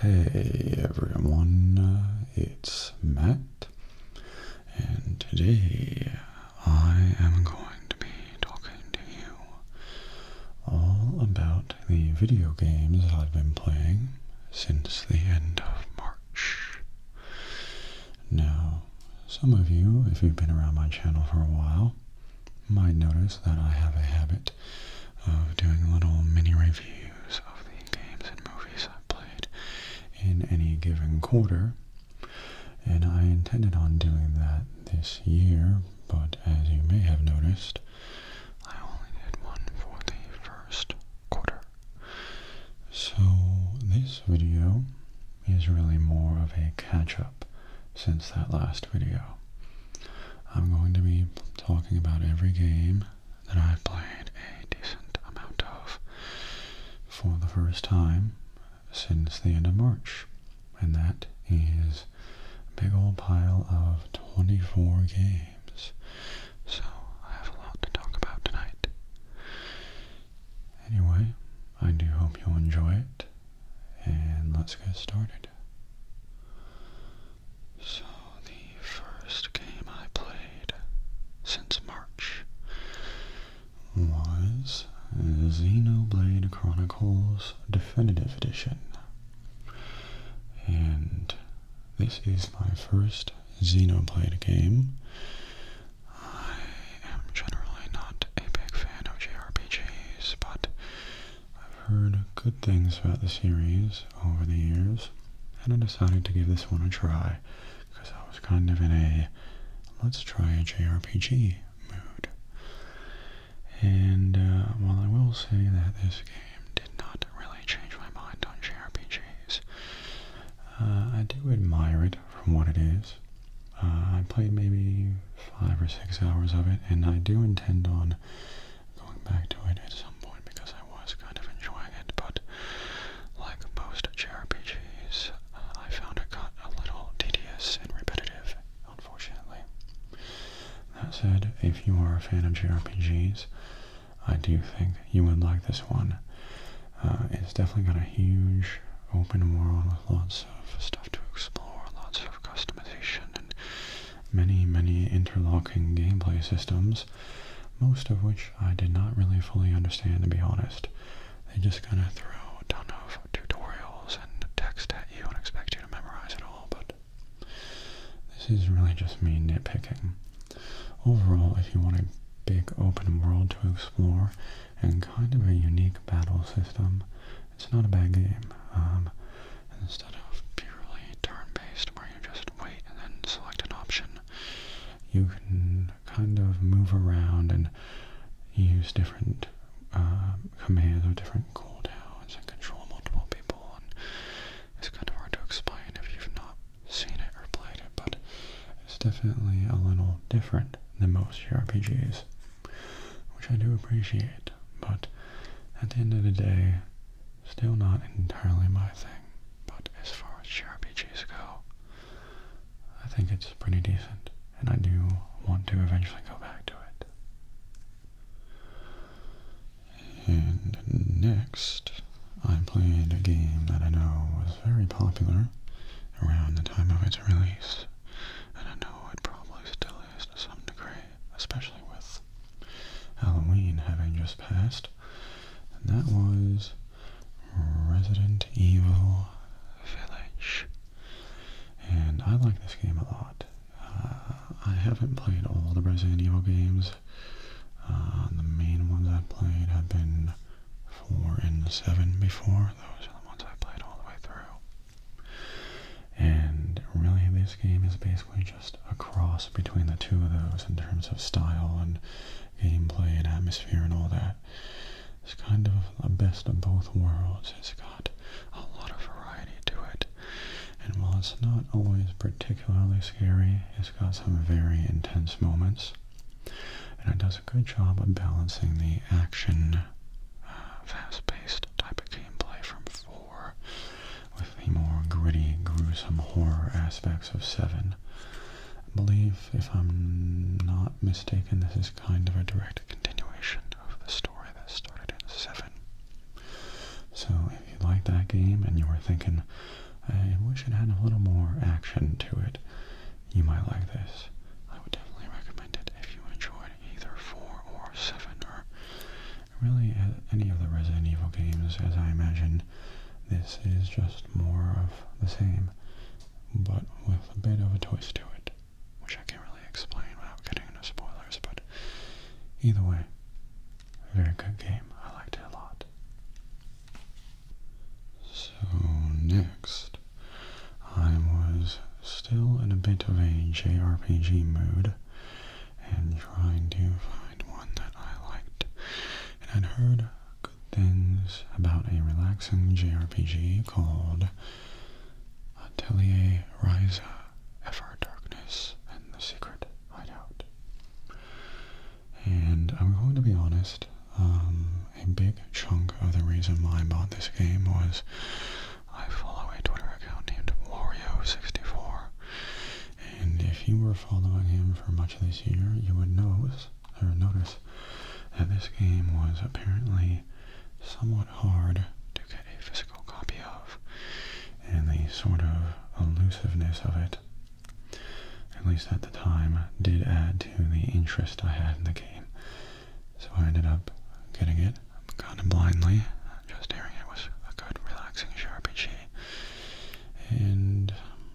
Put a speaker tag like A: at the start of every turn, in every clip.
A: Hey everyone, it's Matt, and today I am going to be talking to you all about the video games I've been playing since the end of March. Now, some of you, if you've been around my channel for a while, might notice that I have a habit habit of doing little mini reviews of the games and movies I've played in any given quarter. And I intended on doing that this year, but as you may have noticed, I only did one for the first quarter. So this video is really more of a catch-up since that last video. I'm going to be talking about every game that I've played a decent amount of for the first time since the end of March. And that is a big old pile of 24 games. So I have a lot to talk about tonight. Anyway, I do hope you'll enjoy it. And let's get started. So, the first game I played since March was Xenoblade Chronicles Definitive Edition. And this is my first Xenoblade game. I am generally not a big fan of JRPGs, but I've heard good things about the series over the years, and I decided to give this one a try, because I was kind of in a let's try a JRPG mood. And uh, while I will say that this game did not really change my mind on JRPGs, uh, I do admire it for what it is. Uh, I played maybe five or six hours of it, and I do intend on going back to it at some point because I was kind of enjoying it, but like most JRPGs, uh, I found it got a little tedious and repetitive, unfortunately. That said, if you are a fan of JRPGs, I do think you would like this one. Uh, it's definitely got a huge open world with lots of stuff to explore, lots of customization and many, many interlocking gameplay systems, most of which I did not really fully understand, to be honest. They just kind of throw a ton of tutorials and text at you and expect you to memorize it all, but this is really just me nitpicking. Overall, if you want a big open world to explore and kind of a unique battle system, it's not a bad game. Um, instead of purely turn-based, where you just wait and then select an option, you can kind of move around and use different um, commands or different cooldowns and control multiple people. it's kind of hard to explain if you've not seen it or played it, but it's definitely a little different than most RPGs, which I do appreciate. But at the end of the day, Still not entirely my thing, but as far as JRPGs go, I think it's pretty decent, and I do want to eventually go back to it. And next, I played a game that I know was very popular around the time of its release, and I know it probably still is to some degree, especially with Halloween having just passed. And that was Resident Evil Village. And I like this game a lot. Uh, I haven't played all the Resident Evil games. Uh, the main ones I've played have been 4 and 7 before. Those are the ones I played all the way through. And really this game is basically just a cross between the two of those in terms of style and gameplay and atmosphere and all that. It's kind of a best of both worlds. It's got a lot of variety to it. And while it's not always particularly scary, it's got some very intense moments. And it does a good job of balancing the action, uh, fast-paced type of gameplay from 4 with the more gritty, gruesome horror aspects of 7. I believe, if I'm not mistaken, this is kind of a direct continuation of the story that started in 7. So if you like that game and you were thinking, I wish it had a little more action to it, you might like this. I would definitely recommend it if you enjoyed either 4 or 7 or really uh, any of the Resident Evil games, as I imagine. This is just more of the same, but with a bit of a twist to it, which I can't really explain without getting into spoilers, but either way, very good game. I liked it a lot. So next, I was still in a bit of a JRPG mood, and trying to find one that I liked. And I'd heard good things about a relaxing JRPG called Atelier Riza FR Darkness, and the Secret Hideout. And I'm going to be honest, um, a big chunk of the reason why I bought this game was I follow a Twitter account named Wario64, and if you were following him for much of this year, you would notice, or notice that this game was apparently somewhat hard to get a physical copy of. And the sort of elusiveness of it, at least at the time, did add to the interest I had in the game. So I ended up getting it kind of blindly just hearing it was a good, relaxing RPG. And um,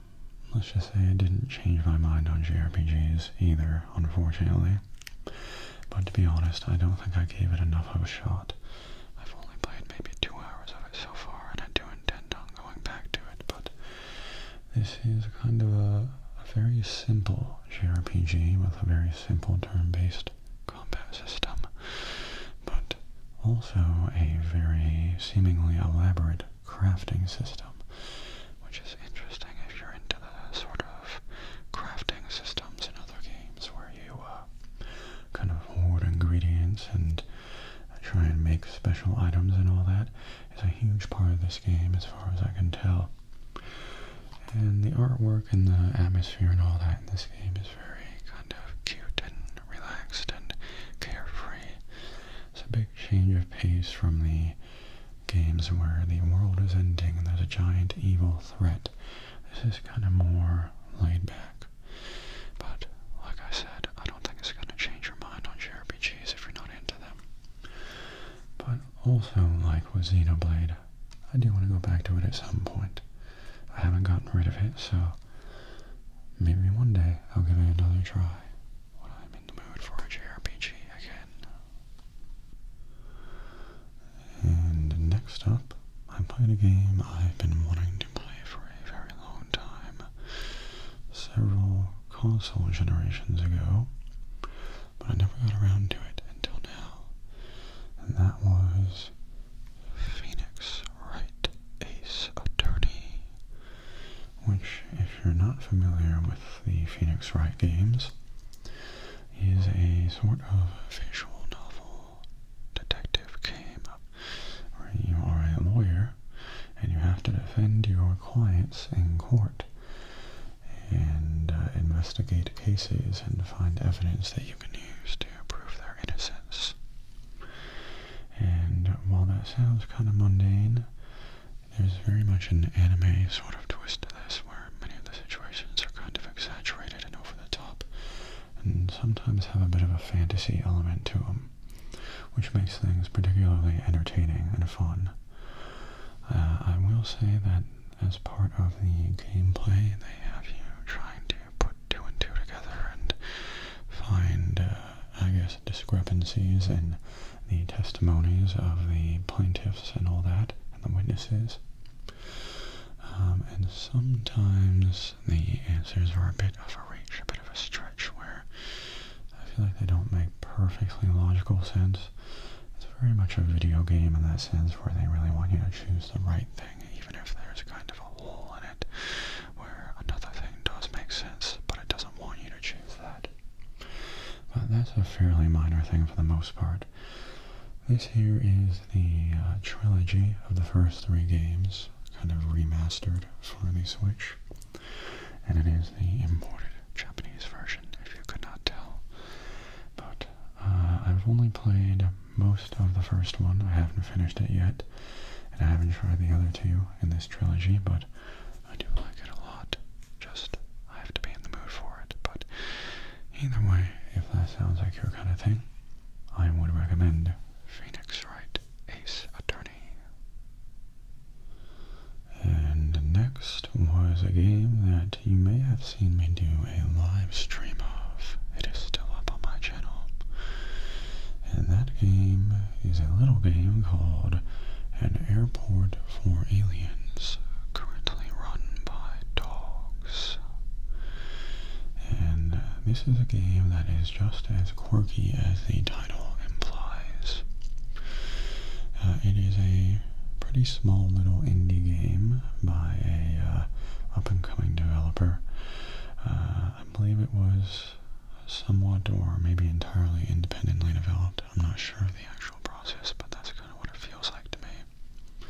A: let's just say I didn't change my mind on JRPGs either, unfortunately. But to be honest, I don't think I gave it enough of a shot. I've only played maybe two hours of it so far, and I do intend on going back to it, but this is kind of a very simple JRPG with a very simple turn-based combat system, but also a very seemingly elaborate crafting system, which is interesting if you're into the sort of crafting systems in other games where you uh, kind of hoard ingredients and uh, try and make special items and all that is a huge part of this game as far as I can tell. And the artwork and the atmosphere and all that in this game is very kind of cute and relaxed and carefree. It's a big change of pace from the games where the world is ending and there's a giant evil threat. This is kind of more laid back. But, like I said, I don't think it's going to change your mind on JRPGs if you're not into them. But also, like with Xenoblade, I do want to go back to it at some point. I haven't gotten rid of it, so Maybe one day I'll give it another try when I'm in the mood for a JRPG again. And next up, I'm playing a game I've been wanting to play for a very long time. Several console generations ago, but I never got around to it until now. And that was Phoenix Wright. Ace Attorney, which, if you're not familiar with the Phoenix Wright games, is a sort of visual novel detective game where you are a lawyer and you have to defend your clients in court and uh, investigate cases and find evidence that you can use to prove their innocence. And while that sounds kind of mundane, there's very much an anime sort of twist to this, where many of the situations are kind of exaggerated and over the top, and sometimes have a bit of a fantasy element to them, which makes things particularly entertaining and fun. Uh, I will say that as part of the gameplay, they have you trying to put two and two together and find, uh, I guess, discrepancies in the testimonies of the plaintiffs and all that, and the witnesses. Um, and sometimes the answers are a bit of a reach, a bit of a stretch, where I feel like they don't make perfectly logical sense. It's very much a video game in that sense, where they really want you to choose the right thing, even if there's kind of a hole in it where another thing does make sense, but it doesn't want you to choose that. But that's a fairly minor thing for the most part. This here is the uh, trilogy of the first three games, kind of remastered for the Switch. And it is the imported Japanese version, if you could not tell. But uh, I've only played most of the first one. I haven't finished it yet, and I haven't tried the other two in this trilogy, but I do like it a lot. Just, I have to be in the mood for it. But either way, if that sounds like your kind of thing, I would recommend Phoenix Wright Ace Attorney. And next was a game that you may have seen me do a live stream of. It is still up on my channel. And that game is a little game called An Airport for Aliens, currently run by dogs. And uh, this is a game that is just as quirky as the title implies. Uh, it is a pretty small little indie game by a uh, up-and-coming developer believe it was somewhat or maybe entirely independently developed. I'm not sure of the actual process, but that's kind of what it feels like to me.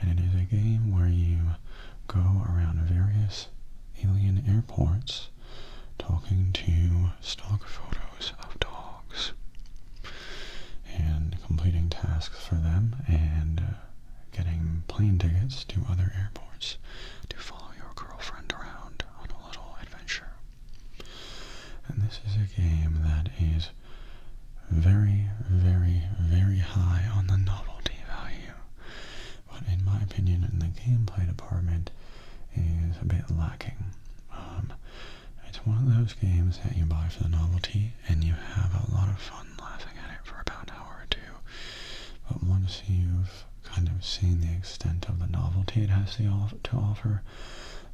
A: And it is a game where you go around various alien airports talking to stock photos of dogs and completing tasks for them and getting plane tickets to other airports to follow your girlfriend around on a little adventure. And this is a game that is very, very, very high on the novelty value. But in my opinion, in the gameplay department is a bit lacking. Um, it's one of those games that you buy for the novelty and you have a lot of fun laughing at it for about an hour or two. But once you've kind of seen the extent of the novelty it has to, offer.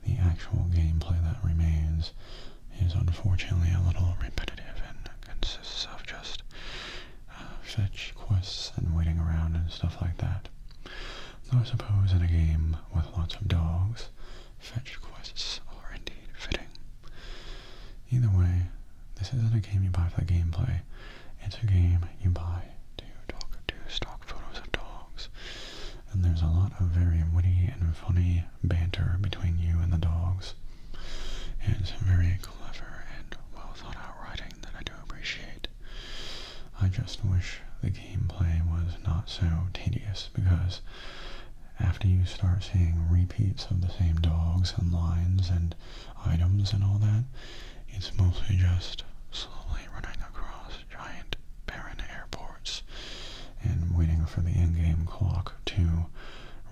A: The actual gameplay that remains is unfortunately a little repetitive and consists of just uh, fetch quests and waiting around and stuff like that. Though I suppose in a game with lots of dogs, fetch quests are indeed fitting. Either way, this isn't a game you buy for the gameplay. It's a game you buy to talk to stock photos of dogs. And there's a lot of very witty and funny banter between you and the dogs. It's very clever and well thought out writing that I do appreciate. I just wish the gameplay was not so tedious because after you start seeing repeats of the same dogs and lines and items and all that. It's mostly just slowly running across giant barren airports and waiting for the in-game clock to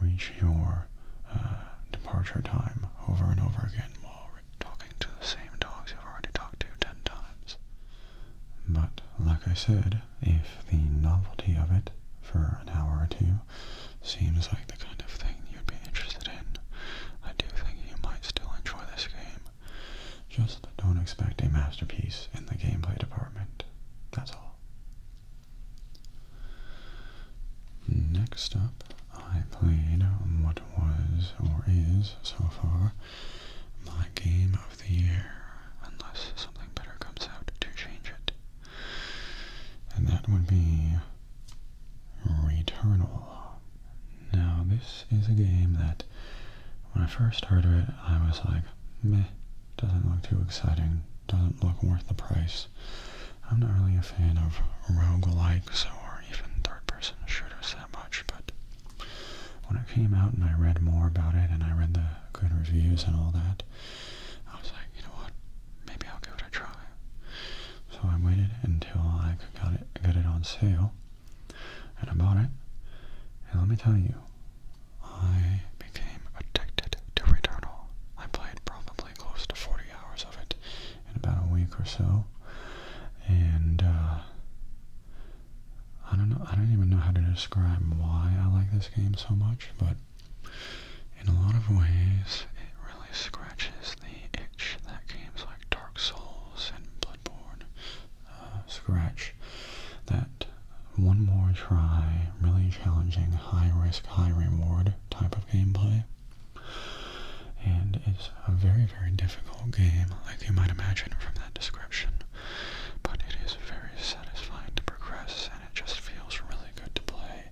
A: reach your uh, departure time over and over again while talking to the same dogs you've already talked to ten times. But like I said, if the novelty of it for an hour or two seems like the kind of thing you'd be interested in. I do think you might still enjoy this game. Just don't expect a masterpiece in the gameplay department. That's all. Next up, I played what was, or is, so far, my game of the year, unless something better comes out to change it. And that would be Returnal. Now this is a game that when I first started it I was like, meh, doesn't look too exciting, doesn't look worth the price. I'm not really a fan of roguelikes or even third-person shooters that much, but when it came out and I read more about it and I read the good reviews and all that, I was like, you know what, maybe I'll give it a try. So I waited until I got it, on sale, and I bought it. And let me tell you, I became addicted to Returnal. I played probably close to 40 hours of it in about a week or so, and uh, I don't know. I don't even know how to describe why I like this game so much, but in a lot of ways, it really scratches the itch that games like Dark Souls and Bloodborne uh, scratch. That one more try, really challenging, high risk, high reward type of gameplay. And it's a very, very difficult game, like you might imagine from that description. But it is very satisfying to progress, and it just feels really good to play.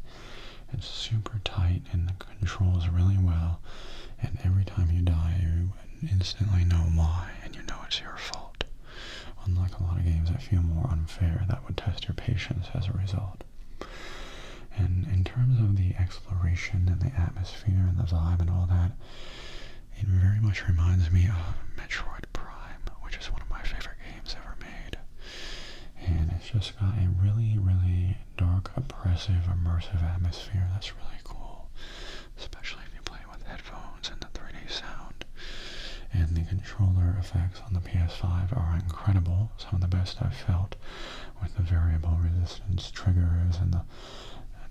A: It's super tight and the controls really well. And every time you die, you instantly know why, and you know it's your fault. Unlike a lot of games that feel more unfair, that would test your patience as a result. And in terms of the exploration and the atmosphere and the vibe and all that, it very much reminds me of Metroid Prime, which is one of my favorite games ever made. And it's just got a really, really dark, oppressive, immersive atmosphere. That's really cool, especially if you play with headphones and the 3D sound. And the controller effects on the PS5 are incredible, some of the best I've felt, with the variable resistance triggers and the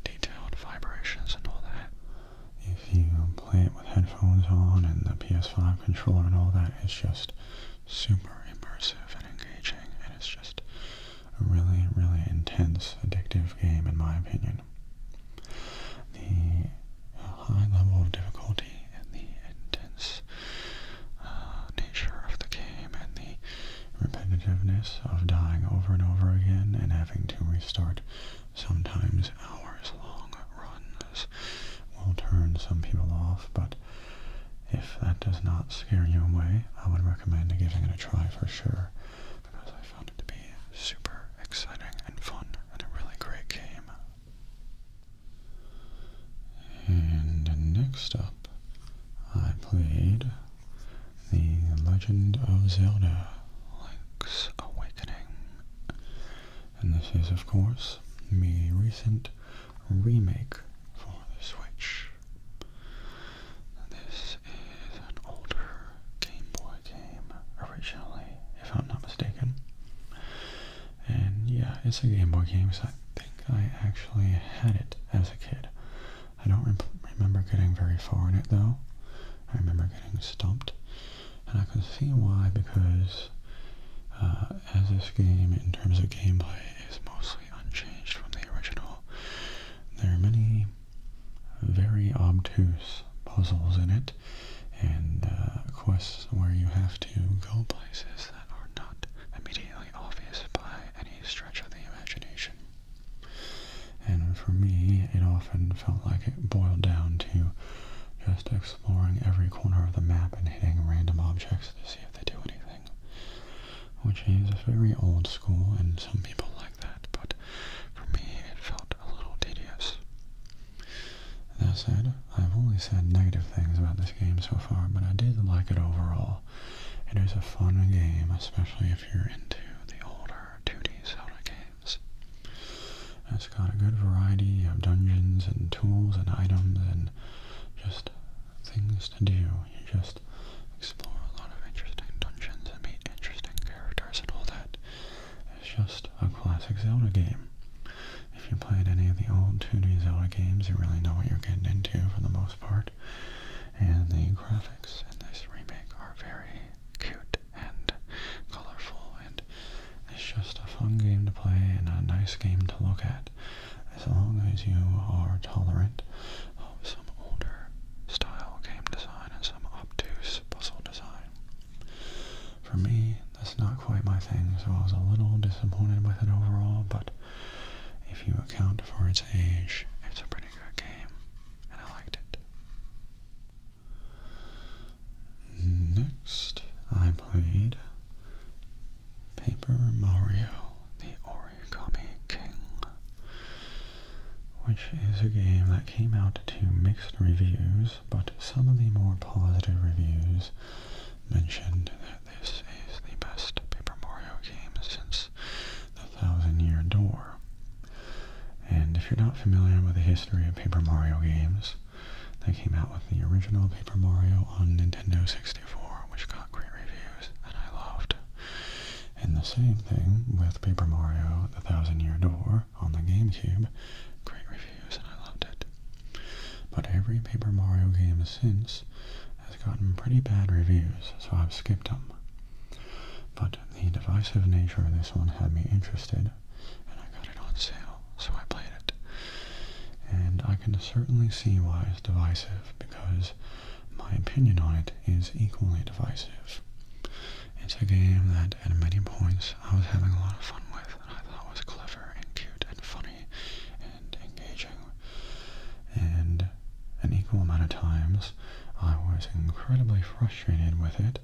A: detailed vibrations and all that. If you play it with headphones on and the PS5 controller and all that, it's just super immersive and engaging, and it's just a really, really intense, addictive game, in my opinion. The high level of difficulty and the intense uh, nature of the game and the repetitiveness of dying over and over again and having to restart sometimes hours long runs will turn some people off, but if that does not scare you away, I would recommend giving it a try for sure because I found it to be super exciting and fun and a really great game. And next up, I played The Legend of Zelda Link's Awakening. And this is, of course, the recent remake for the Switch. This is an older Game Boy game originally, if I'm not mistaken. And yeah, it's a Game Boy game, so I think I actually had it as a kid. I don't remember getting very far in it though. I remember getting stumped. And I can see why because uh, as this game in terms of gameplay is mostly mostly unchanged from the original. There are many very obtuse puzzles in it and uh, quests where you have to go places that are not immediately obvious by any stretch of the imagination. And for me, it often felt like it boiled down to just exploring every corner of the map and hitting random objects to see if they do anything which is very old school, and some people like that, but for me it felt a little tedious. That said, I've only said negative things about this game so far, but I did like it overall. It is a fun game, especially if you're into the older 2D Zelda games. It's got a good variety of dungeons and tools and items and just things to do. You just explore a lot of interesting dungeons and meet interesting characters and all that. It's just a classic Zelda game. If you played any of the old 2D Zelda games, you really know what you're getting into for the most part. And the graphics in this remake are very cute and colorful, and it's just a fun game to play and a nice game to look at as long as you are tolerant of some older style game design and some obtuse puzzle design. For me, that's not quite my thing, so I was a little disappointed with it overall, but if you account for its age, it's a pretty good game, and I liked it. Next, I played Paper Mario, the Origami King, which is a game that came out to mixed reviews, but some of the more positive reviews mentioned that this is the best Paper Mario game since the Thousand Year Door. And if you're not familiar with the history of Paper Mario games, they came out with the original Paper Mario on Nintendo 64. 64, which got great reviews and I loved. And the same thing with Paper Mario The Thousand Year Door on the GameCube. Great reviews and I loved it. But every Paper Mario game since has gotten pretty bad reviews, so I've skipped them. But the divisive nature of this one had me interested, and I got it on sale, so I played it. And I can certainly see why it's divisive, because my opinion on it is equally divisive. It's a game that at many points I was having a lot of fun with and I thought was clever and cute and funny and engaging. And an equal amount of times I was incredibly frustrated with it,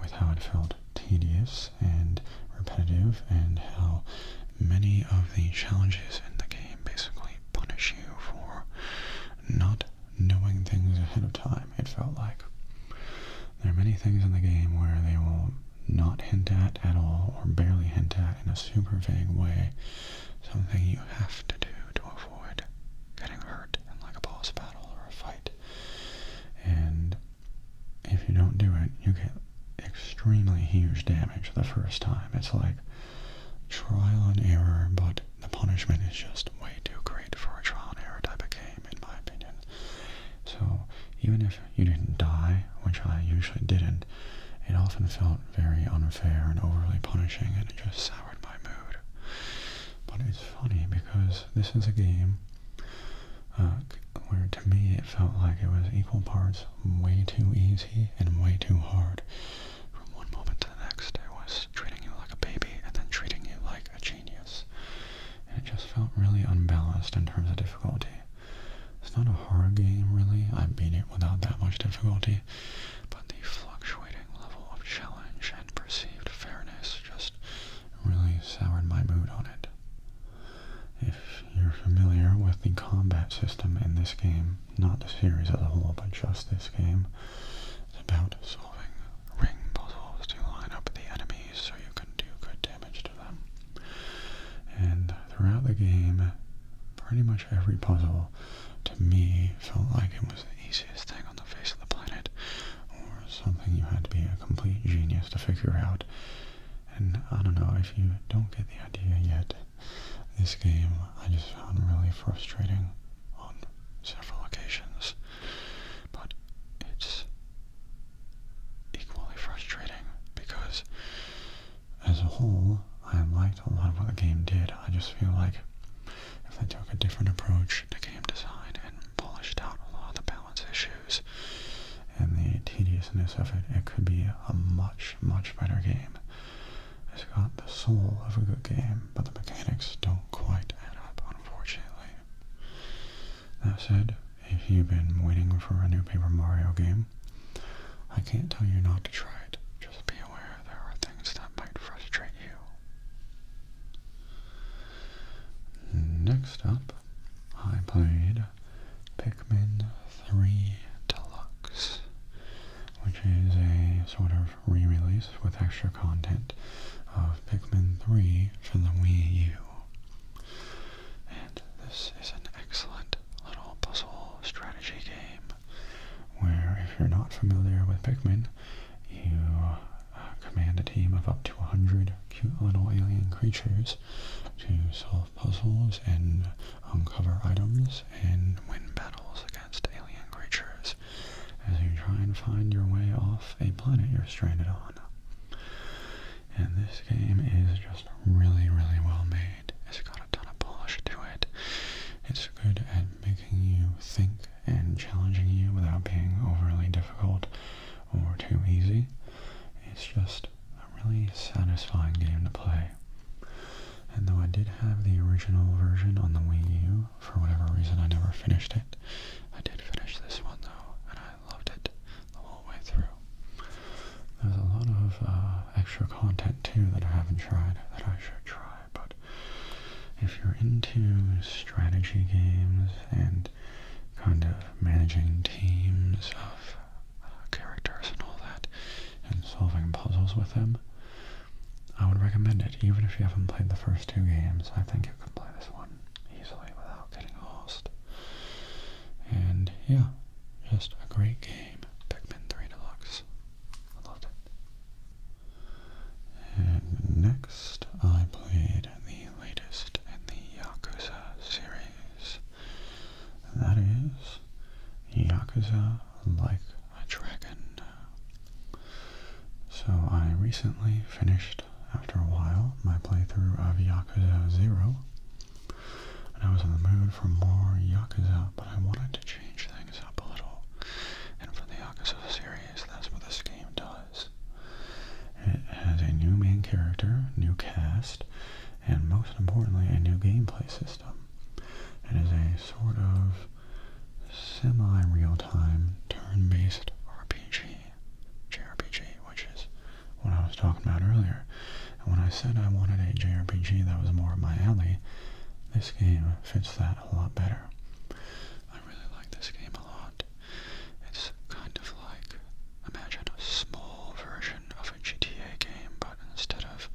A: with how it felt tedious and repetitive and how many of the challenges in the game basically punish you for not knowing things ahead of time, it felt like. There are many things in the game where they will not hint at at all or barely hint at in a super vague way something you have to do to avoid getting hurt in like a boss battle or a fight. And if you don't do it, you get extremely huge damage the first time. It's like trial and error, but the punishment is just way too great for a trial and error type of game, in my opinion. So even if you didn't die, which I usually didn't, it often felt very unfair and overly punishing, and it just soured my mood. But it's funny because this is a game uh, where to me it felt like it was equal parts way too easy and way too hard. From one moment to the next, it was treating you like a baby and then treating you like a genius. it just felt really unbalanced in terms of difficulty. It's not a hard game, really. I beat it without that much difficulty. But the fluctuating level of challenge and perceived fairness just really soured my mood on it. If you're familiar with the combat system in this game, not the series as a whole, but just this game. It's about solving ring puzzles to line up the enemies so you can do good damage to them. And throughout the game, pretty much every puzzle to me felt like it was the easiest thing on the face of the planet, or something you had to be a complete genius to figure out. And I don't know, if you don't get the idea yet, this game I just found really frustrating on several occasions, but it's equally frustrating because as a whole I liked a lot of what the game did. I just feel like if they took a different approach to game design and polished out a lot of the balance issues and the tediousness of it, it could be a much, much better game. It's got the soul of a good game, but the mechanics don't quite add up, unfortunately. That said, if you've been waiting for a new Paper Mario game, I can't tell you not to try it. Just be aware there are things that might frustrate you. Next up, I played Pikmin 3 Deluxe which is a sort of re-release with extra content of Pikmin 3 for the Wii U. And this is an excellent little puzzle strategy game where if you're not familiar with Pikmin, you uh, command a team of up to 100 cute little alien creatures to solve puzzles and uncover items, and win battles against alien creatures as you try and find your way off a planet you're stranded on. And this game is just really, really well made. It's got a ton of polish to it. It's good at making you think and challenging you without being overly difficult or too easy. It's just a really satisfying game to play. And though I did have the original version on the Wii U, for whatever reason I never finished it. I did finish this one though, and I loved it the whole way through. There's a lot of uh, extra content too that I haven't tried that I should try, but if you're into strategy games and kind of managing teams of uh, characters and all that, and solving puzzles with them, I would recommend it, even if you haven't played the first two games. I think you can play this one easily without getting lost. And yeah, just a great game. Pikmin 3 Deluxe. I loved it. And next, I played the latest in the Yakuza series. that is Yakuza Like a dragon. Uh, so I recently finished, after a while, my playthrough of Yakuza 0. And I was in the mood for more Yakuza, but I wanted to change things up a little. And for the Yakuza series, that's what this game does. It has a new main character, new cast, and most importantly, a new gameplay system. It is a sort of semi-real-time turn-based RPG, JRPG, which is what I was talking about earlier. And when I said I wanted a JRPG that was more up my alley, this game fits that a lot better. I really like this game a lot. It's kind of like, imagine a small version of a GTA game, but instead of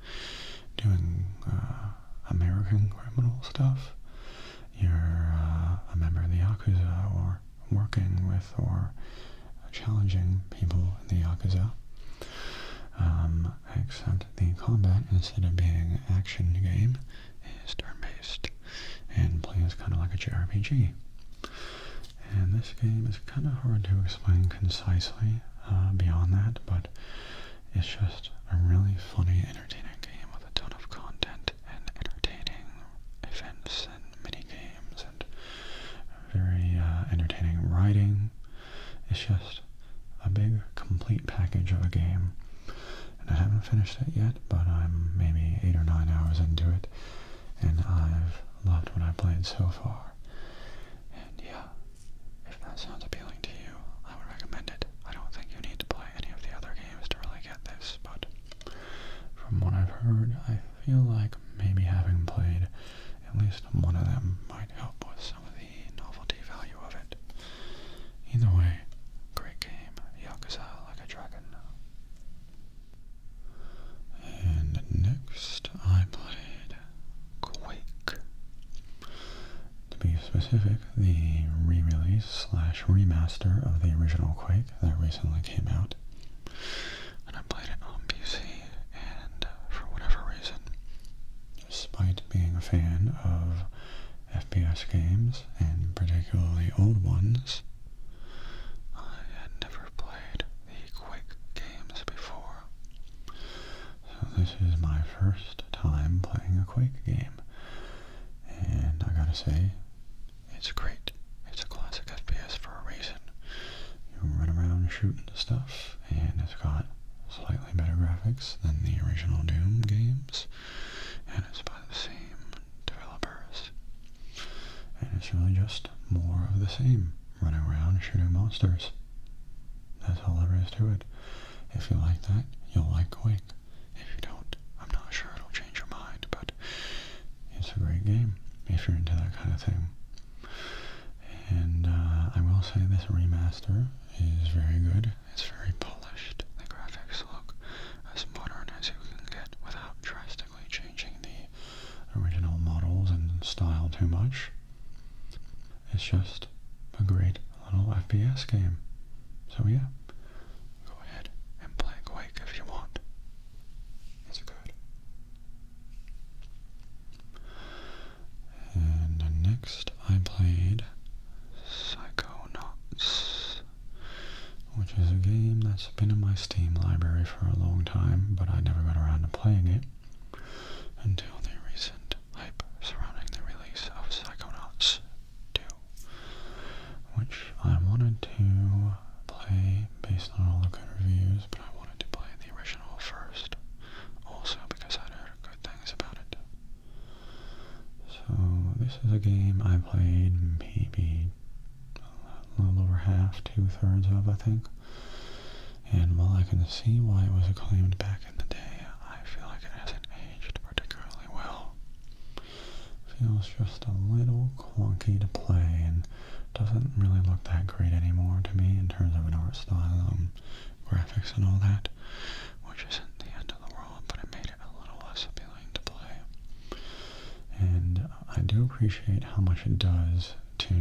A: doing uh, American criminal stuff. You're uh, a member of the Yakuza or working with or challenging people in the Yakuza. Um, except the combat, instead of being an action game, is turn-based and plays kind of like a JRPG. And this game is kind of hard to explain concisely uh, beyond that, but it's just a really funny, entertaining game with a ton of content and entertaining events and mini games and very uh, entertaining writing. It's just a big, complete package of a game. And I haven't finished it yet, but I'm maybe eight or nine hours into it, and I've loved what I have played so far. And yeah, if that sounds appealing to you, I would recommend it. I don't think you need to play any of the other games to really get this, but from what I've heard, I feel like maybe having played at least one of them might help with some of the novelty value of it. Either way, great game, Yakuza Like a Dragon. And next I played Quake. To be specific, the re-release slash remaster of the original Quake that recently came out. And I played it on PC, and uh, for whatever reason, despite being a fan of FPS games, and particularly old ones, I had never played the Quake games before. So this is my first time playing a Quake game. And I gotta say, it's great. It's a classic FPS for a reason. You run around shooting stuff, and it's got slightly better graphics than the original Doom games. And it's by the same developers. And it's really just more of the same. Running around shooting monsters. That's all there is to it. If you like that, you'll like Quake. If you don't, I'm not sure it'll change your mind, but it's a great game if you're into that kind of thing. And uh, I will say this remaster is very good. It's very polished. The graphics look as modern as you can get without drastically changing the original models and style too much. It's just a great a little FPS game. So yeah, go ahead and play Quake if you want. It's good. And next I played Psychonauts, which is a game that's been in my Steam library for a long time, but I never got around to playing it until the recent hype surrounding the release of Psychonauts 2, which I wanted to play based on all the good reviews, but I wanted to play the original first, also because i heard good things about it. So this is a game I played maybe a little over half, two-thirds of, I think. And while I can see why it was acclaimed back in the day, I feel like it hasn't aged particularly well. Feels just a little clunky to play and doesn't really look that great anymore to me in terms of an art style and um, graphics and all that, which isn't the end of the world, but it made it a little less appealing to play. And I do appreciate how much it does to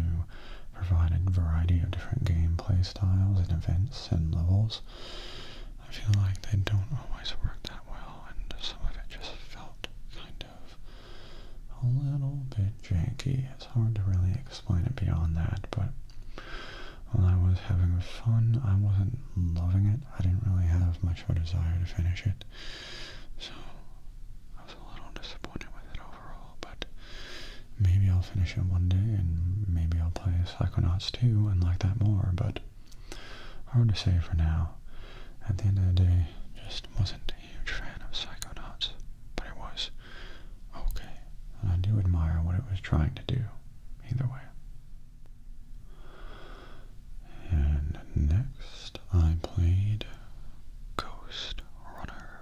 A: provide a variety of different gameplay styles and events and levels. I feel like they don't always work that well, and some of it just felt kind of a little bit janky. It's hard to really explain it beyond that, but while I was having fun, I wasn't loving it. I didn't really have much of a desire to finish it, so I was a little disappointed with it overall, but maybe I'll finish it one day, and maybe I'll to play Psychonauts 2 and like that more, but hard to say for now. At the end of the day, just wasn't a huge fan of Psychonauts, but it was okay, and I do admire what it was trying to do, either way. And next, I played Ghost Runner.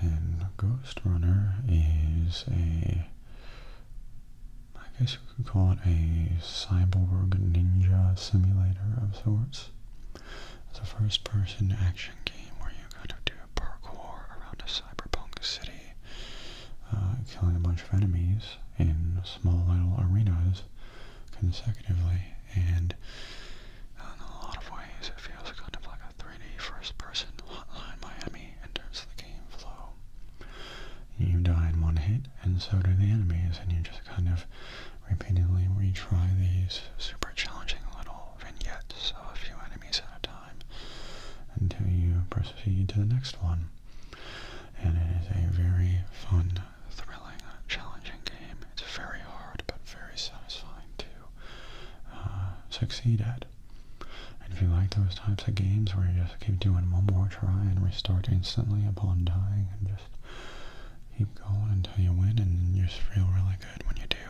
A: And Ghost Runner is a I guess you could call it a cyborg ninja simulator of sorts. It's a first-person action game where you kind of do parkour around a cyberpunk city, uh, killing a bunch of enemies in small little arenas consecutively, and uh, in a lot of ways it feels kind of like 3D first-person Hotline Miami enters the game flow. You die in one hit, and so do the enemies, and you just kind of repeatedly retry these super challenging little vignettes of a few enemies at a time until you proceed to the next one. And it is a very fun, thrilling, challenging game. It's very hard, but very satisfying to uh, succeed at. And if you like those types of games where you just keep doing one more try and restart instantly upon dying and just keep going until you win and you just feel really good when you do,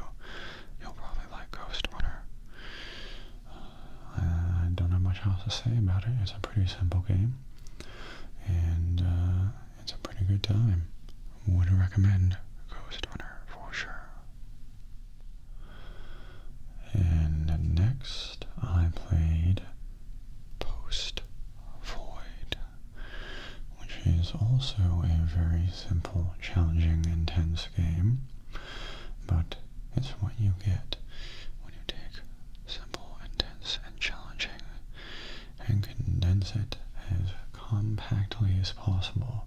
A: you'll probably like Ghost Runner. Uh, I don't have much else to say about it. It's a pretty simple game. And uh, it's a pretty good time. Would recommend Ghost Runner for sure. And next I played Post Void, which is also a very simple, challenging, intense game, but it's what you get when you take simple, intense, and challenging and condense it as compactly as possible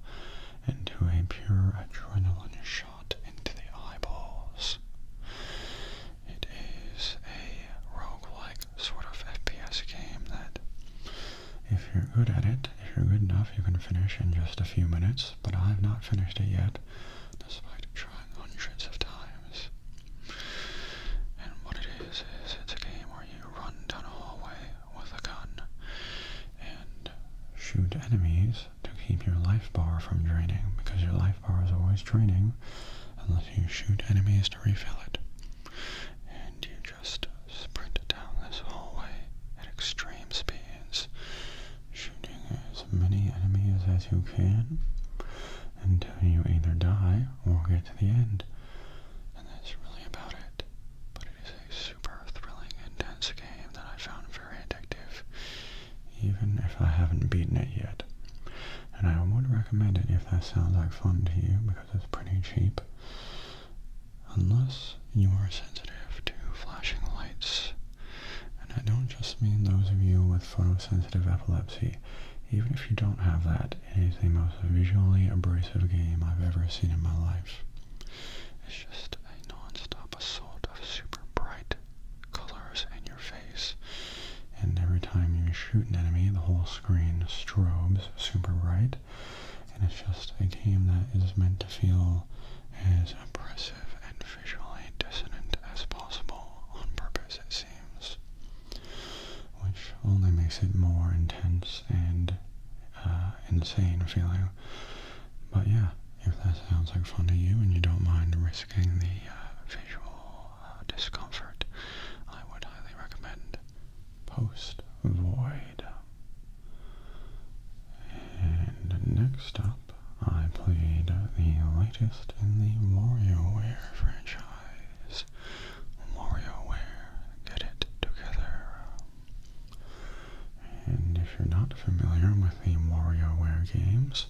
A: into a pure adrenaline shot into the eyeballs. It is a roguelike sort of FPS game that, if you're good at it, if you're good enough, you can finish in just a few minutes, but I've not finished it yet, despite trying hundreds of times. And what it is, is it's a game where you run down a hallway with a gun and shoot enemies to keep your life bar from draining, because your life bar is always draining unless you shoot enemies to refill it. And you just sprint down this hallway at extreme speeds, shooting as many enemies as you can until you either die or get to the end. And that's really about it. But it is a super thrilling, intense game that I found very addictive even if I haven't beaten it yet. And I would recommend it if that sounds like fun to you because it's pretty cheap. Unless you are sensitive to flashing lights. And I don't just mean those of you with photosensitive epilepsy. Even if you don't have that, it is the most visually abrasive game I've ever seen in my life. It's just a non-stop assault of super bright, colors in your face. And every time you shoot an enemy, the whole screen strobes super bright. And it's just a game that is meant to feel as oppressive and visually dissonant as possible on purpose, it seems. Which only makes it more intense and uh, insane feeling but yeah, if that sounds like fun to you and you don't mind risking the uh, visual uh, discomfort, I would highly recommend Post Void. And next up, I played the latest in the WarioWare franchise. WarioWare, get it together. And if you're not familiar with the WarioWare games,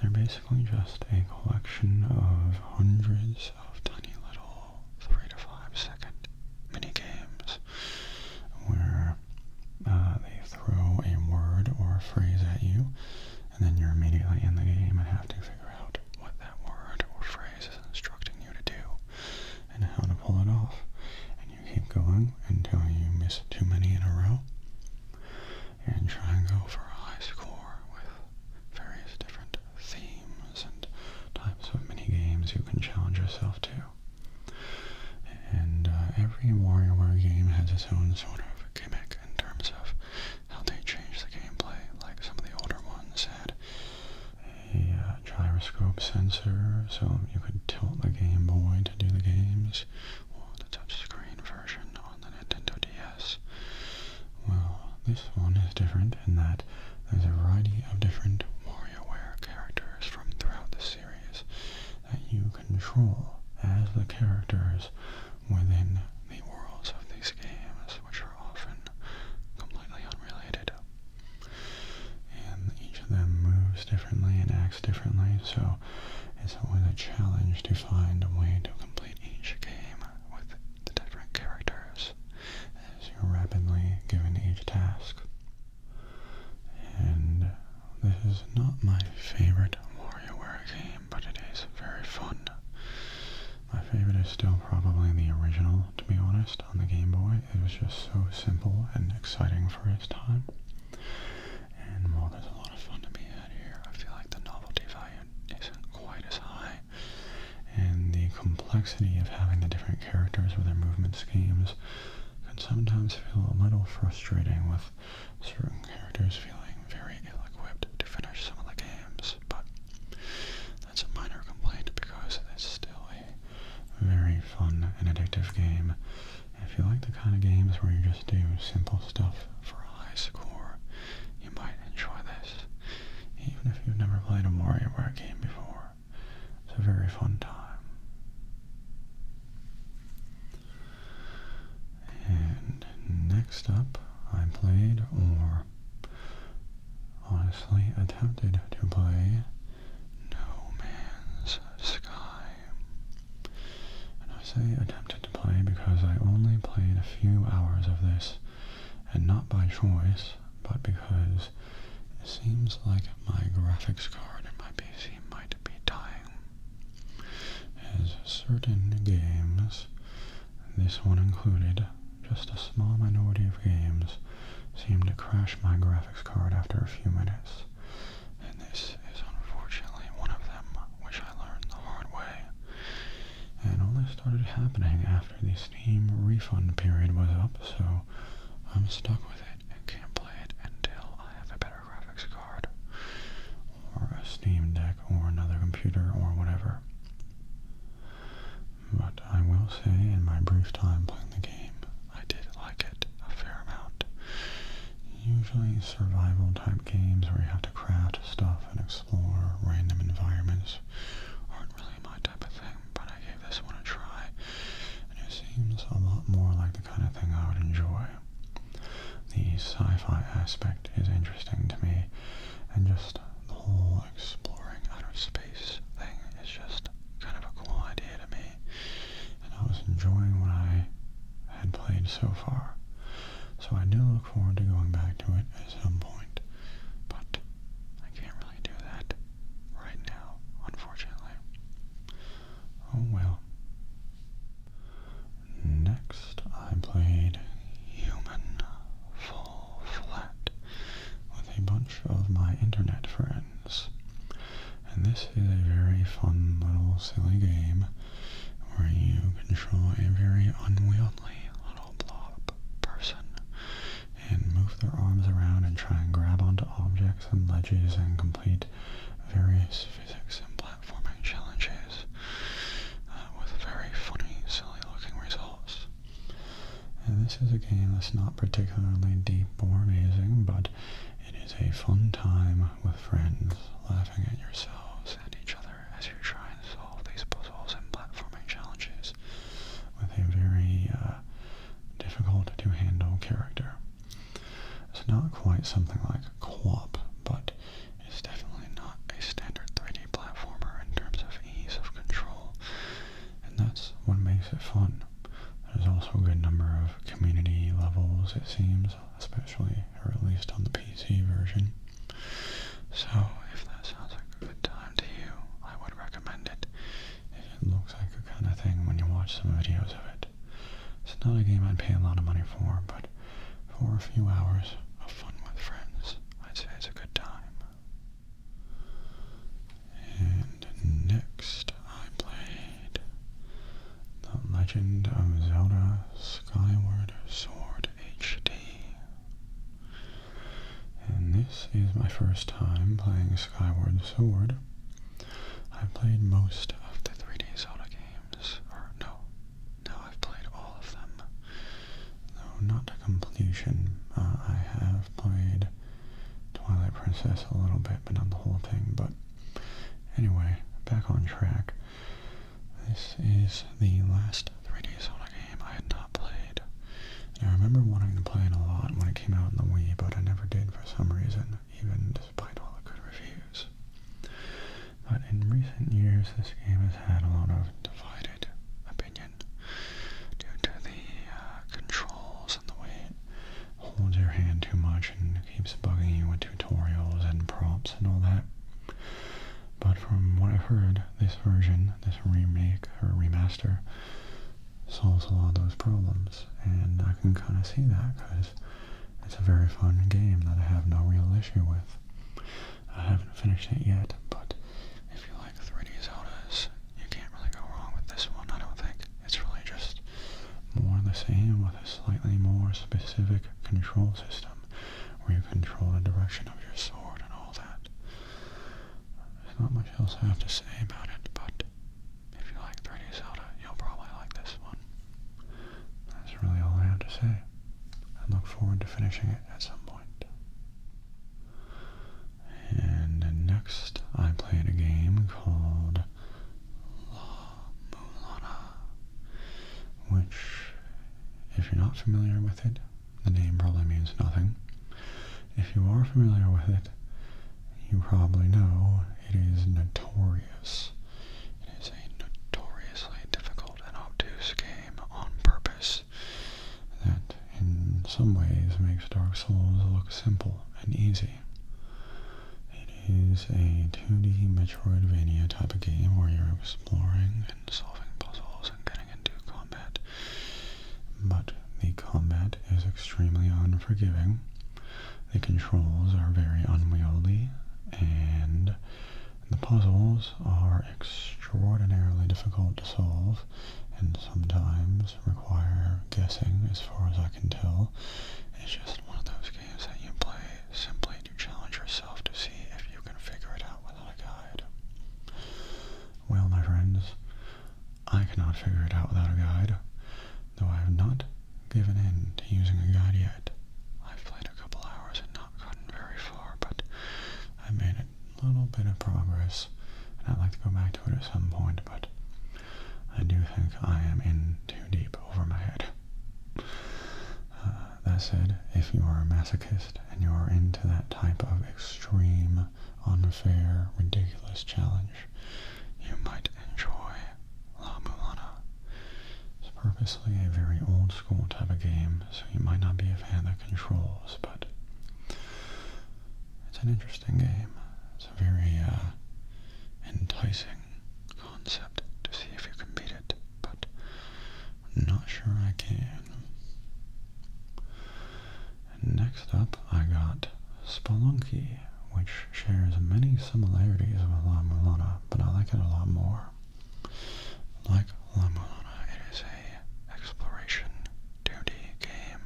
A: they're basically just a collection of hundreds of tiny little three to five second mini games where uh, they throw a word or a phrase at you and then you're immediately in the game and have to figure out what that word or phrase is instructing you to do and how to pull it off you keep going until you miss too many in a row and try and go for a high score with various different themes and types of mini games you can challenge yourself to. And uh, every WarioWare game has its own sort of gimmick in terms of how they change the gameplay. Like some of the older ones had a uh, gyroscope sensor, so you could tilt the Game Boy to do the games games, or the touchscreen version on the Nintendo DS. Well, this one is different in that there's a variety of different WarioWare characters from throughout the series that you control as the characters within the worlds of these games, which are often completely unrelated. And each of them moves differently and acts differently, so it's always a challenge to find a way to complete each game with the different characters as you're rapidly given each task. And this is not my favorite WarioWare game, but it is very fun. My favorite is still probably the original, to be honest, on the Game Boy. It was just so simple and exciting for its time. And while there's a lot of fun to be had here, I feel like the novelty value isn't quite as high. And the complexity of having the different characters with their movement schemes can sometimes feel a little frustrating with certain characters feeling very ill-equipped to finish some of the games, but that's a minor complaint because it's still a very fun and addictive game if you like the kind of games where you just do simple stuff for a high score, you might enjoy this, even if you've never played a WarioWare game before. It's a very fun time. And next up, I played, or honestly attempted to play, No Man's Sky. And I say attempted to play because I only played a few hours of this, and not by choice, but because it seems like my graphics card in my PC might be dying. As certain games, this one included, just a small minority of games, seem to crash my graphics card after a few minutes, and this is unfortunately one of them which I learned the hard way. And all this started happening after the Steam refund period was up, so I'm stuck with it and can't play it until I have a better graphics card, or a Steam Deck, or another computer, or whatever. But I will say, in my brief time playing the game, I did like it a fair amount usually survival type games where you have to craft stuff and explore random environments aren't really my type of thing, but I gave this one a try, and it seems a lot more like the kind of thing I would enjoy. The sci-fi aspect is interesting to me, and just the whole exploring outer space thing is just kind of a cool idea to me, and I was enjoying what I had played so far. So I do look forward to going back to it at some point. But I can't really do that right now, unfortunately. Oh well. Next, I played Human Fall Flat with a bunch of my internet friends. And this is a very fun little silly game where you control a very unwieldy little blob person and move their arms around and try and grab onto objects and ledges and complete various physics and platforming challenges uh, with very funny, silly looking results. And this is a game that's not particularly deep or amazing, but it is a fun time with friends, laughing at yourselves and each other as you try to solve these puzzles and platforming challenges with a very uh, difficult to handle character. It's not quite something like co but it's definitely not a standard 3D platformer in terms of ease of control, and that's what makes it fun. There's also a good number of community levels, it seems, especially or at least on the PC version. So if that sounds like a good time to you, I would recommend it. If it looks like a kind of thing when you watch some videos of it. It's not a game I'd pay a lot of money for, but for a few hours of fun with friends, I'd say it's a good time. And next I play. The Legend of Zelda Skyward Sword HD. And this is my first time playing Skyward Sword. I've played most of the 3D Zelda games, no, no, I've played all of them. Though not to completion, uh, I have played Twilight Princess a little bit, but not the whole thing, but anyway, back on track. This is the last 3D Zelda game I had not played. I remember wanting to play it a lot when it came out in the Wii, but I never did for some reason, even despite all the good reviews. But in recent years, this game has had a lot of divided opinion due to the uh, controls and the way it holds your hand too much and keeps bugging you with tutorials and prompts and all that. But from what I've heard, this version, this remake or remaster, solves a lot of those problems. And I can kind of see that because it's a very fun game that I have no real issue with. I haven't finished it yet, but if you like 3D Zeldas, you can't really go wrong with this one, I don't think. It's really just more the same with a slightly more specific control system where you control the direction of your sword and all that. not much else I have to say about it, but if you like 3D Zelda, you'll probably like this one. That's really all I have to say. I look forward to finishing it at some point. And next, I played a game called La Mulana, which, if you're not familiar with it, the name probably means nothing. If you are familiar with it, you probably know it is notorious. It is a notoriously difficult and obtuse game on purpose that in some ways makes Dark Souls look simple and easy. It is a 2D Metroidvania type of game where you're exploring and solving puzzles and getting into combat. But the combat is extremely unforgiving. The controls are very unwieldy and the puzzles are extraordinarily difficult to solve and sometimes require guessing as far as I can tell. It's just one of those games that you play simply way challenge yourself to see if you can figure it out without a guide. Well, my friends, I cannot figure it out without a guide, though I have not given in to using a guide yet. I've played a couple hours and not gotten very far, but I made a little bit of progress, and I'd like to go back to it at some point, but I do think I am in too deep over my head. Uh, that said, if you are a masochist and you are into that type of extreme, unfair, ridiculous challenge, you might enjoy La Mulana. It's purposely a very old school type of game, so you might not be a fan of the controls, but it's an interesting game. It's a very uh, enticing concept to see if you can beat it, but not sure I can. next up, I got Spelunky, which shares many similarities with La Mulana, but I like it a lot more. Like La Mulana, it is a exploration 2D game,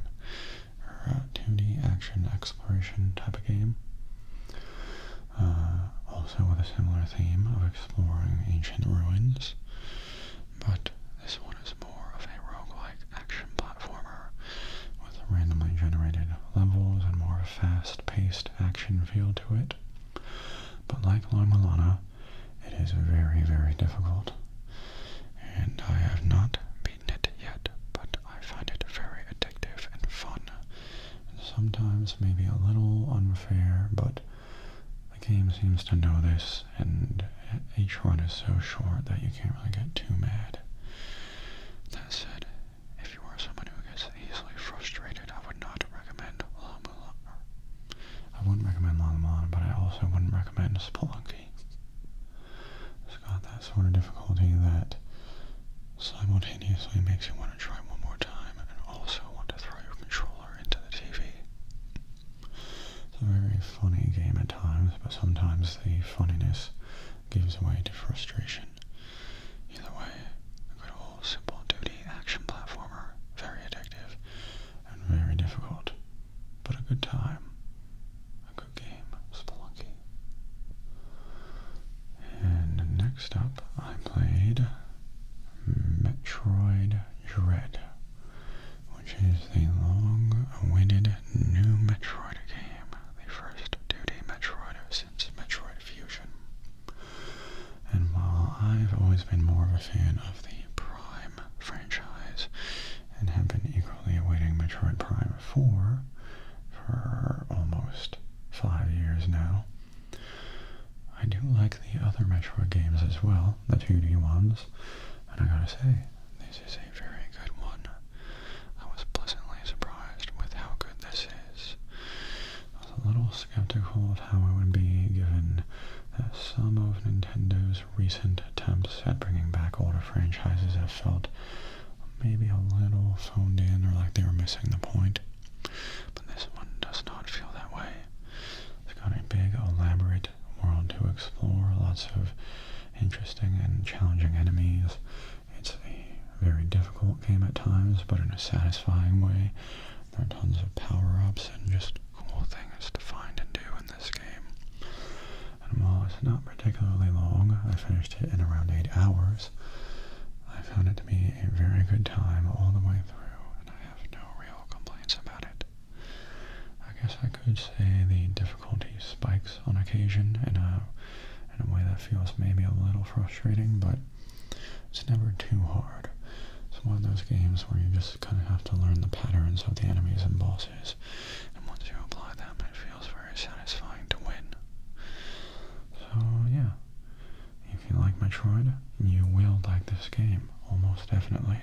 A: 2D er, action exploration type of game. Uh, also with a similar theme of exploring ancient ruins, but this one is more of a roguelike action platformer with randomly generated levels and more fast-paced action feel to it. But like La Milana, it is very, very difficult, and I have not beaten it yet, but I find it very addictive and fun, sometimes maybe a little unfair, but the game seems to know this, and each one is so short that you can't really get too mad. That said, if you are someone who gets easily frustrated, I would not recommend La Mulan. I wouldn't recommend La Mulan, but I also wouldn't recommend Spelunky. It's got that sort of difficulty that simultaneously simultaneously makes you want to try one more time and also want to throw your controller into the TV. It's a very funny game at times, but sometimes the funniness gives way to frustration. Either way, a good old simple duty action platformer, very addictive and very difficult, but a good time. A good game, Spelunky. And next up, I played Metroid Dread, which is the long-awaited new Metroid game, the first 2D Metroid since Metroid Fusion. And while I've always been more of a fan of the Prime franchise and have been equally awaiting Metroid Prime 4 for almost five years now, I do like the other Metroid games as well, the 2D ones, and I gotta say, this is a very good one. I was pleasantly surprised with how good this is. I was a little skeptical of how it would be given that some of Nintendo's recent attempts at bringing back older franchises have felt maybe a little phoned in or like they were missing the point this one does not feel that way. It's got a big, elaborate world to explore, lots of interesting and challenging enemies. It's a very difficult game at times, but in a satisfying way. There are tons of power-ups and just cool things to find and do in this game. And while it's not particularly long, I finished it in around 8 hours, I found it to be a very good time all the way through, and I have no real complaints about it. I guess I could say the difficulty spikes on occasion in a, in a way that feels maybe a little frustrating, but it's never too hard. It's one of those games where you just kind of have to learn the patterns of the enemies and bosses, and once you apply them, it feels very satisfying to win. So yeah, if you like Metroid, you will like this game, almost definitely.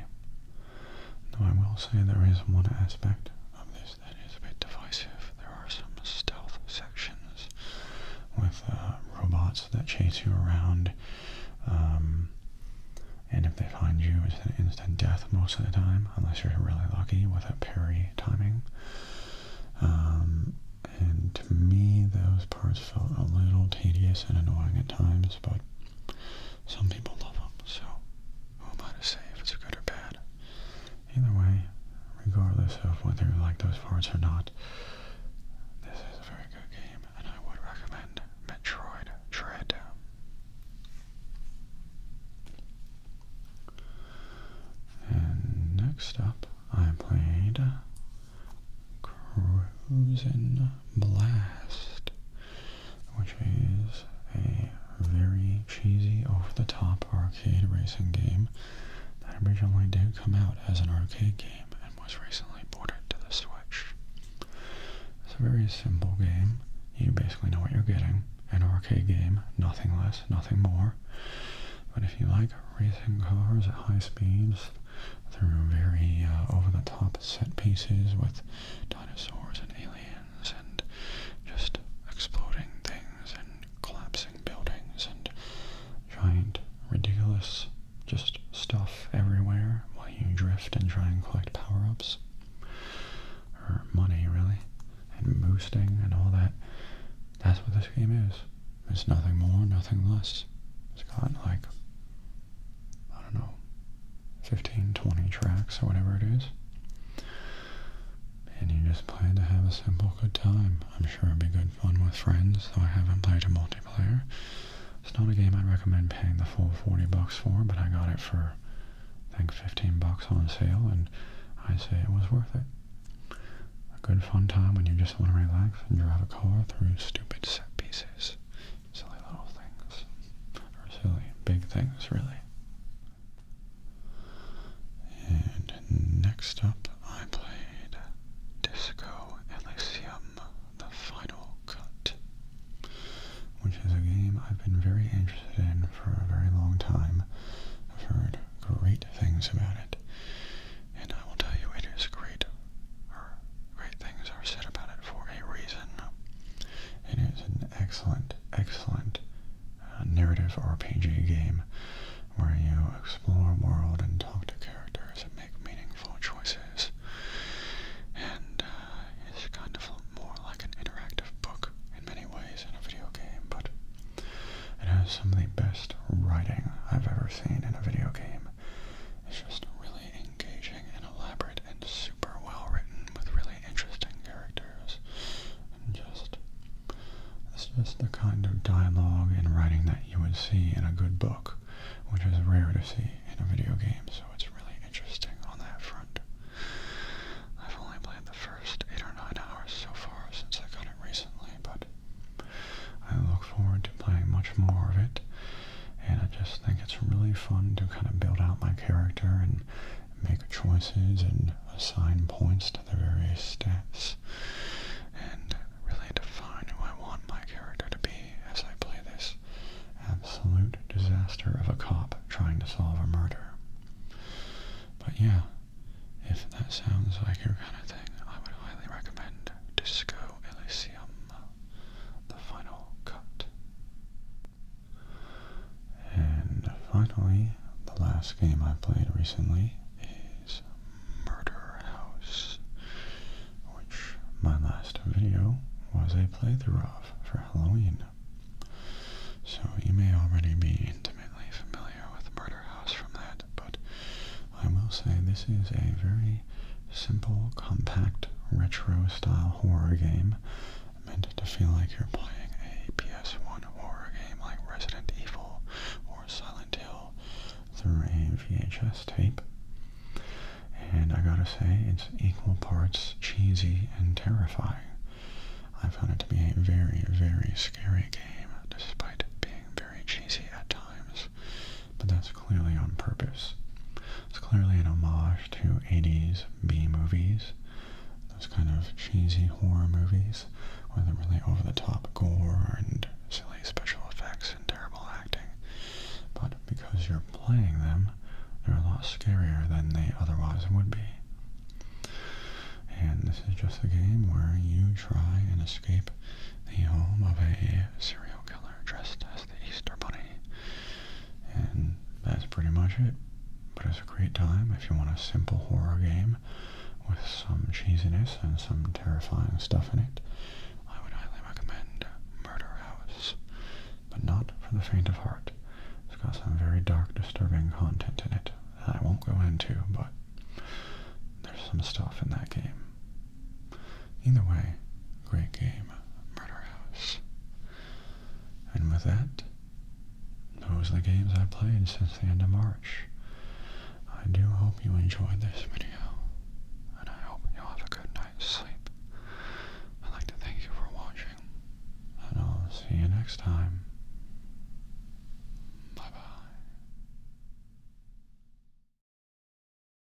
A: Though I will say there is one aspect of this that is a bit divisive. There are some stealth sections with uh, robots that chase you around, um, and if they find you, it's an instant death most of the time, unless you're really lucky with a parry timing. Um, and to me those parts felt a little tedious and annoying at times, but some people love them, so who am I to say if it's good or bad? Either way, regardless of whether you like those parts or not, this is a very good game, and I would recommend Metroid Dread. And next up, I played Crimson Blast, which is a very cheesy, over-the-top arcade racing game that originally did come out as an arcade game and was recently ported to the Switch. It's a very simple game. You basically know what you're getting. An arcade game, nothing less, nothing more. But if you like racing cars at high speeds, through very uh, over-the-top set pieces with dinosaurs and aliens and just exploding things and collapsing buildings and giant, ridiculous, just stuff everywhere while you drift and try and collect power-ups or money, really, and boosting and all that. That's what this game is. There's nothing more, nothing less. It's got like, I don't know, 15, 20 tracks or whatever it is. And you just play to have a simple good time. I'm sure it'd be good fun with friends, though I haven't played a multiplayer. It's not a game I'd recommend paying the full 40 bucks for, but I got it for, I think, 15 bucks on sale, and I say it was worth it. A good fun time when you just want to relax and drive a car through stupid set pieces these silly little things. Or silly big things, really. And next up, I played Disco Elysium, the final cut. Which is a game I've been very interested in for a very long time. I've heard great things about it. And I will tell you, it is great, great things are said about it for a reason. It is an excellent, excellent uh, narrative RPG game where you explore a world and talk to characters and make meaningful choices. And uh, it's kind of more like an interactive book in many ways in a video game, but it has some of the best writing I've ever seen in a video game. It's just really engaging and elaborate and super well written with really interesting characters. And just, it's just the kind of dialogue and writing that you would see in a good book, which is rare to see in a video game, so it's really interesting on that front. I've only played the first 8 or 9 hours so far since I got it recently, but I look forward to playing much more of it, and I just think it's really fun to kind of build out my character and make choices and assign points to the various steps, and really define who I want my character to be as I play this absolute disaster of a cop trying to solve a murder. But yeah, if that sounds like your kind of thing, I would highly recommend Disco Elysium the final cut. And finally, the last game I played recently is Murder House, which my last video was a playthrough of for Halloween. So you may already be intimately familiar with Murder House from that, but I will say this is a very simple, compact, retro-style horror game meant to feel like you're playing a PS1 horror game like Resident Evil or Silent Hill through a VHS tape. And I gotta say, it's equal parts cheesy and terrifying. I found it to be a very, very scary game, despite being very cheesy at times but that's clearly on purpose. It's clearly an homage to 80s B movies, those kind of cheesy horror movies with really over-the-top gore and silly special effects and terrible acting. But because you're playing them, they're a lot scarier than they otherwise would be. And this is just a game where you try and escape the home of a serial killer dressed as Easter Bunny. And that's pretty much it. But it's a great time if you want a simple horror game with some cheesiness and some terrifying stuff in it. I would highly recommend Murder House, but not for the faint of heart. It's got some very dark, disturbing content in it that I won't go into, but there's some stuff in that game Either way, great game, Murder House. And with that, those are the games I played since the end of March. I do hope you enjoyed this video, and I hope you'll have a good night's sleep. I'd like to thank you for watching, and I'll see you next time. Bye-bye.